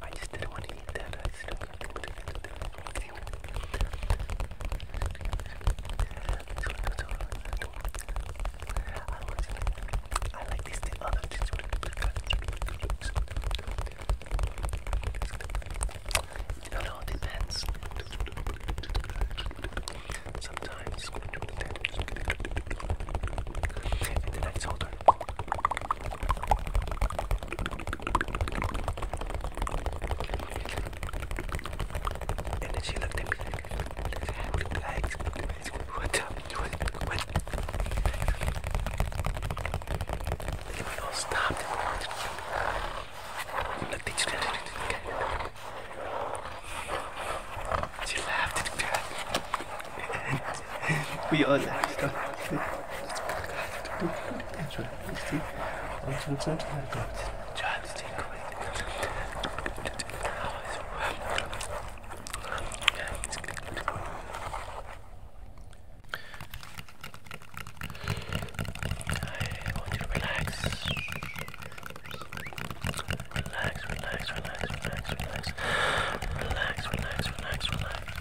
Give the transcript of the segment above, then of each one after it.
I just didn't want to eat that. I just don't want to eat that. I like these things. Oh, no, no, it depends. Sometimes. And then I told and then she looked at me like, what up? What? What? And then we all oh, stopped and we wanted to kill me. Looked at each other. She laughed at that we are last. I want you to relax. Relax, relax, relax, relax, relax. Relax, relax, relax, relax.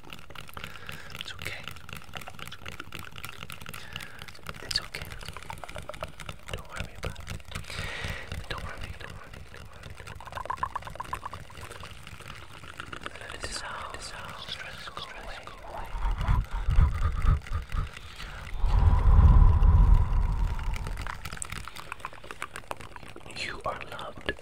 It's okay. It's okay. Don't worry about it. Don't worry, Let it dissolve, dissolve, stress, go away. You are loved.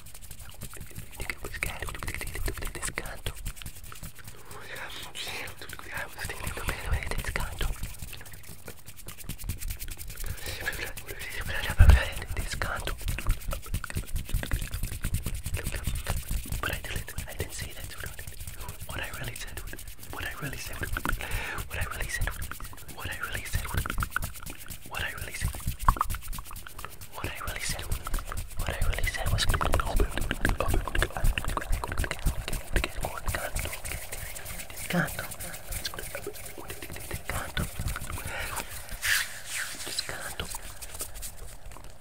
But I didn't. I didn't say that. What I really said. What I really said. What I really said. What I really said. What I really said. What I really said, what I really said, what I really said was open, open, open, condom, condom, just condom.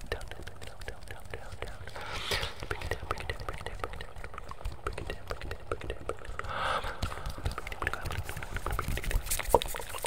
Down, down, down, down, down, down, down. Bring it down, bring it down, bring it down, bring it down, bring it down, bring it down, bring it down.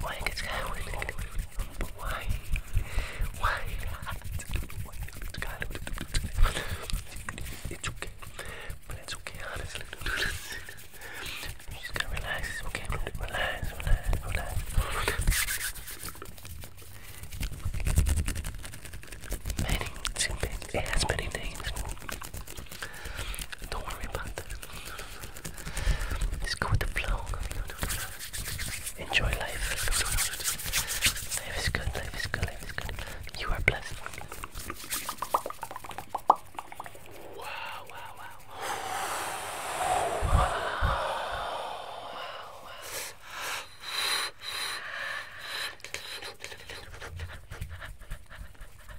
Why it's going? Why? Why it's going? It's okay, but it's okay, honestly. You just gotta relax. It's okay, relax, relax, relax. Many, many, it many names. Don't worry about that. Just go with the flow. Enjoy life. Life is good, life is good, life is good. You are blessed. wow. Wow, wow, wow.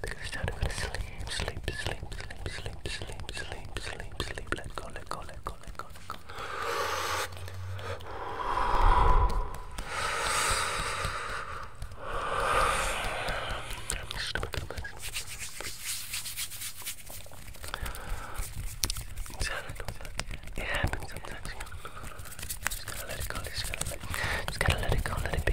Because now I'm gonna sleep, sleep, sleep, sleep, sleep, sleep, sleep, sleep, sleep. Let go, let go, let go, let go, let go. Stomach It happens sometimes. Just gotta let it go. Just gotta let, just gotta let it go. Let it be.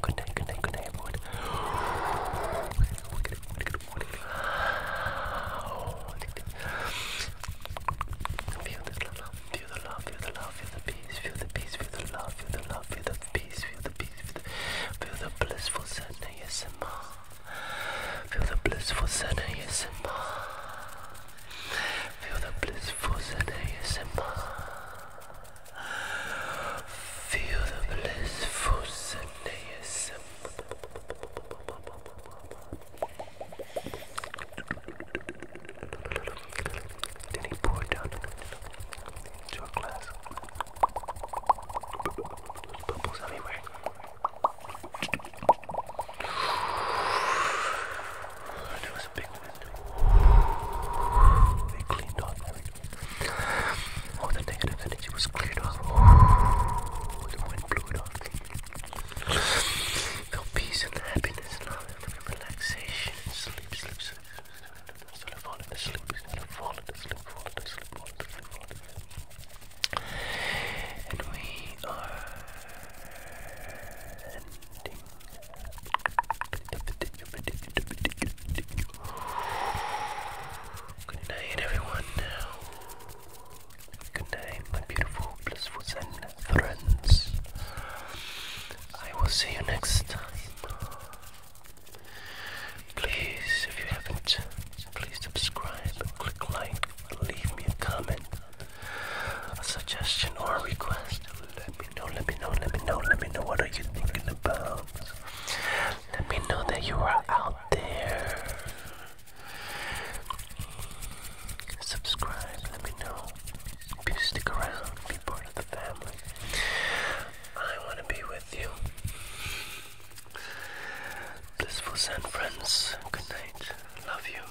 Good night, good night, good night, everyone. Feel this love, feel the love, feel the love, feel the peace, feel the peace, feel the love, feel the love, feel the peace, feel the peace, feel the, feel the blissful center, yes, Feel the blissful center, yes, Feel the blissful center, yes, Feel the blissful sensation. Then he poured down into a glass. bubbles everywhere a cleaned off All the negative energy was cleared off. The wind blew off. Felt peace and happiness and all that relaxation and sleep, sleep, sleep. Instead of falling asleep, instead of falling asleep, falling asleep, falling asleep, falling asleep. And we are Good night, everyone. Good night, my beautiful, blissful Zen friends. I will see you next time. Please, if you haven't, please subscribe, click like, leave me a comment, a suggestion, or request me know, let me know, let me know, let me know what are you thinking about. Let me know that you are out there. Subscribe, let me know. If you stick around, be part of the family. I want to be with you. Blissful San friends, good night. Love you.